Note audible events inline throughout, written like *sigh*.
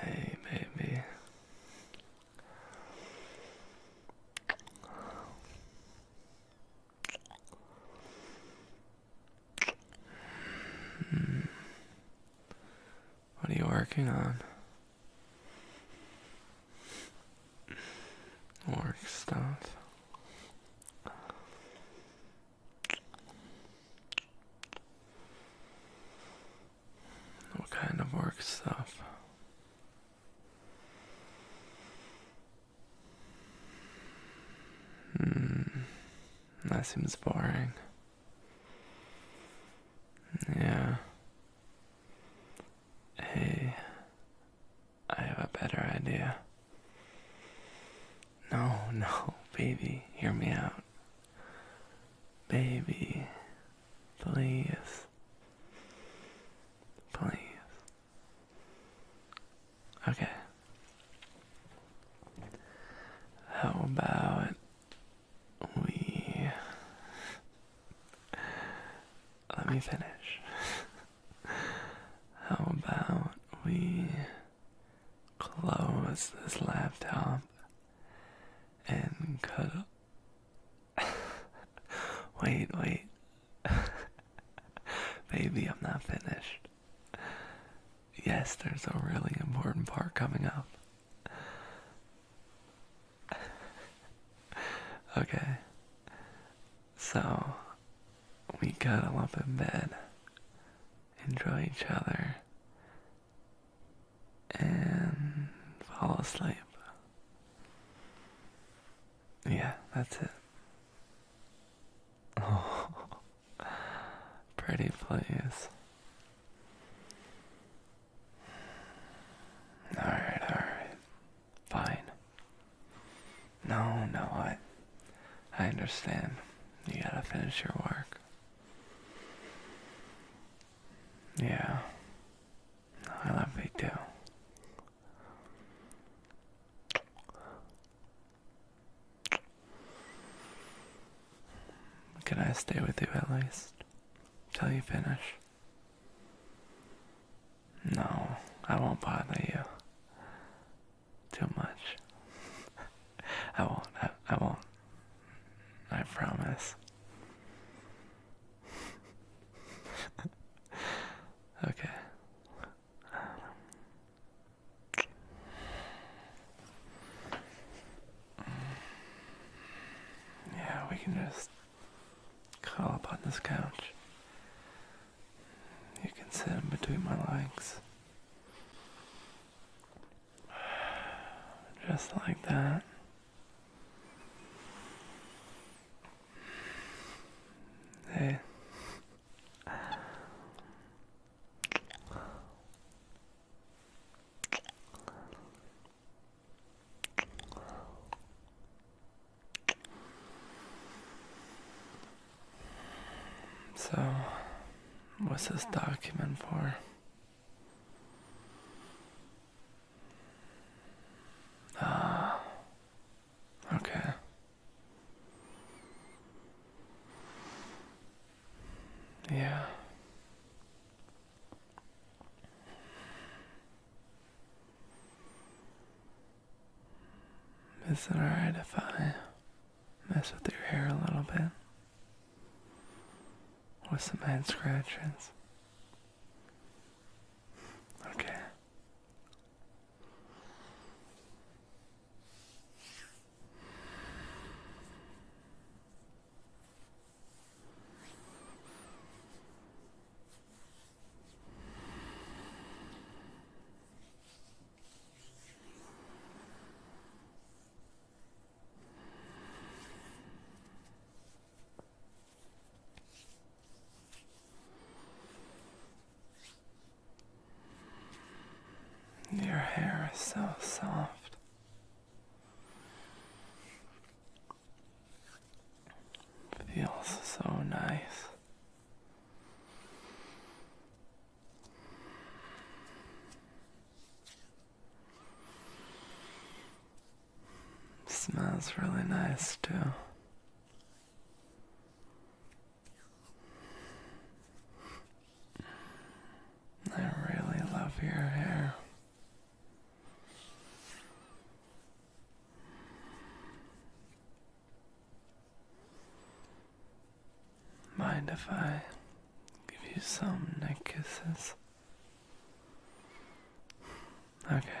Hey, baby. Hmm. What are you working on? Work stuff. What kind of work stuff? Hmm. That seems boring. Yeah. Hey, I have a better idea. No, *laughs* no, baby, hear me out. Baby, please. Please. Okay. How about we. Let me finish. *laughs* How about we close this laptop and cut. *laughs* wait, wait. *laughs* Baby, I'm not finished. Yes, there's a really important part coming up. *laughs* okay. So, we cuddle up in bed enjoy each other, and fall asleep. Yeah, that's it. Oh, *laughs* pretty please! Alright, alright. Fine. No, no, I I understand. You gotta finish your work. Yeah. I love you too. Can I stay with you at least? Till you finish? No, I won't bother you too much. *laughs* I won't. I, won't. I promise. *laughs* okay. Yeah, we can just curl up on this couch. You can sit in between my legs. Just like that. Hey. So, what's this document for? Ah, okay. Yeah. Is it alright if I mess with your hair a little bit with some head scratches. Okay. Your hair is so soft. Feels so nice. Smells really nice too. I really love your hair. Mind if I give you some neck kisses? Okay.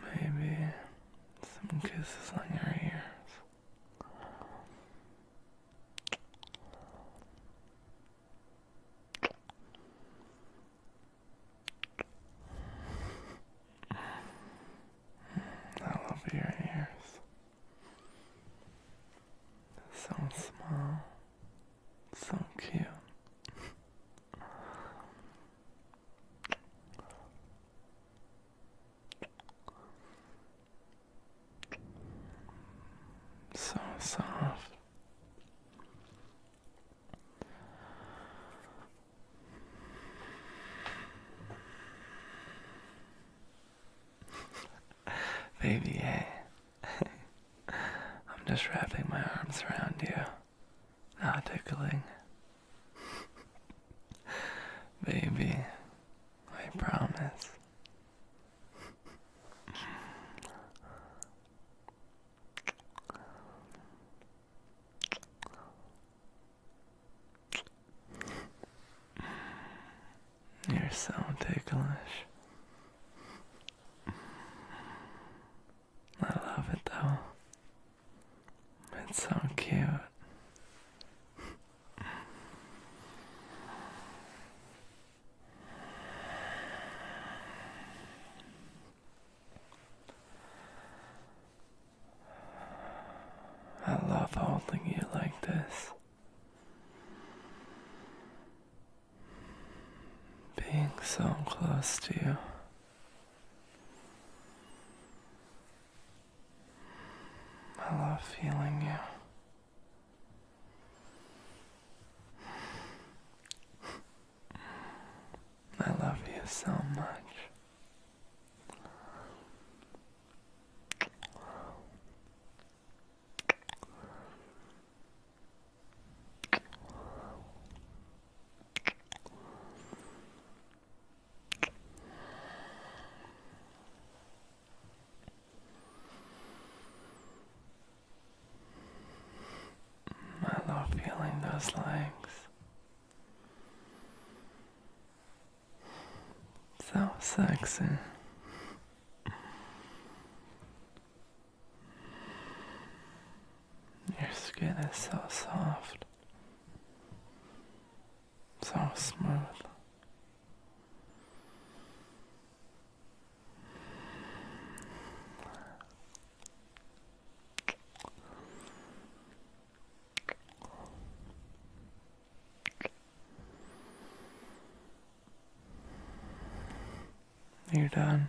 Maybe some kisses on your ears. I love your ears. So small so cute. So soft. *laughs* Baby, eh? *laughs* I'm just wrapping my arms around you. Not ah, tickling. Baby, I promise. You're so ticklish. I love it though. It's so cute. I love holding you like this. Being so close to you. I love feeling you. I love you so much. I love feeling those legs. So sexy. Your skin is so soft, so smooth. You're done.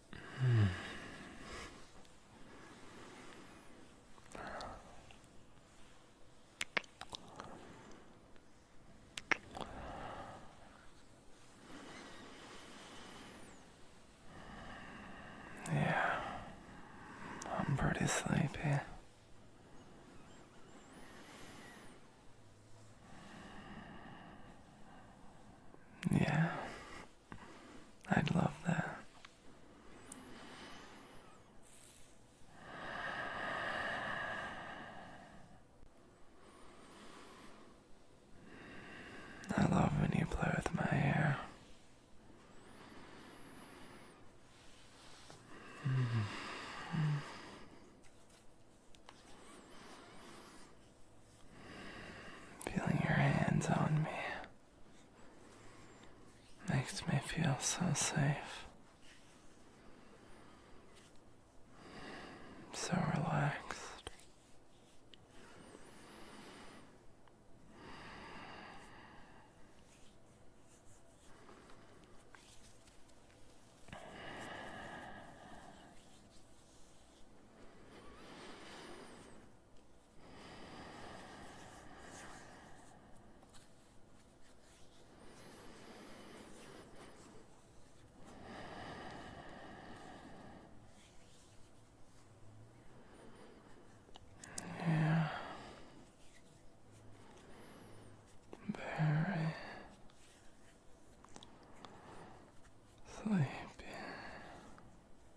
Yeah, I'm pretty sleepy. Yeah, I'd love that. I love when you play with my hair. Feeling your hands on me makes me feel so safe, so relaxed. Yeah. Very sleepy.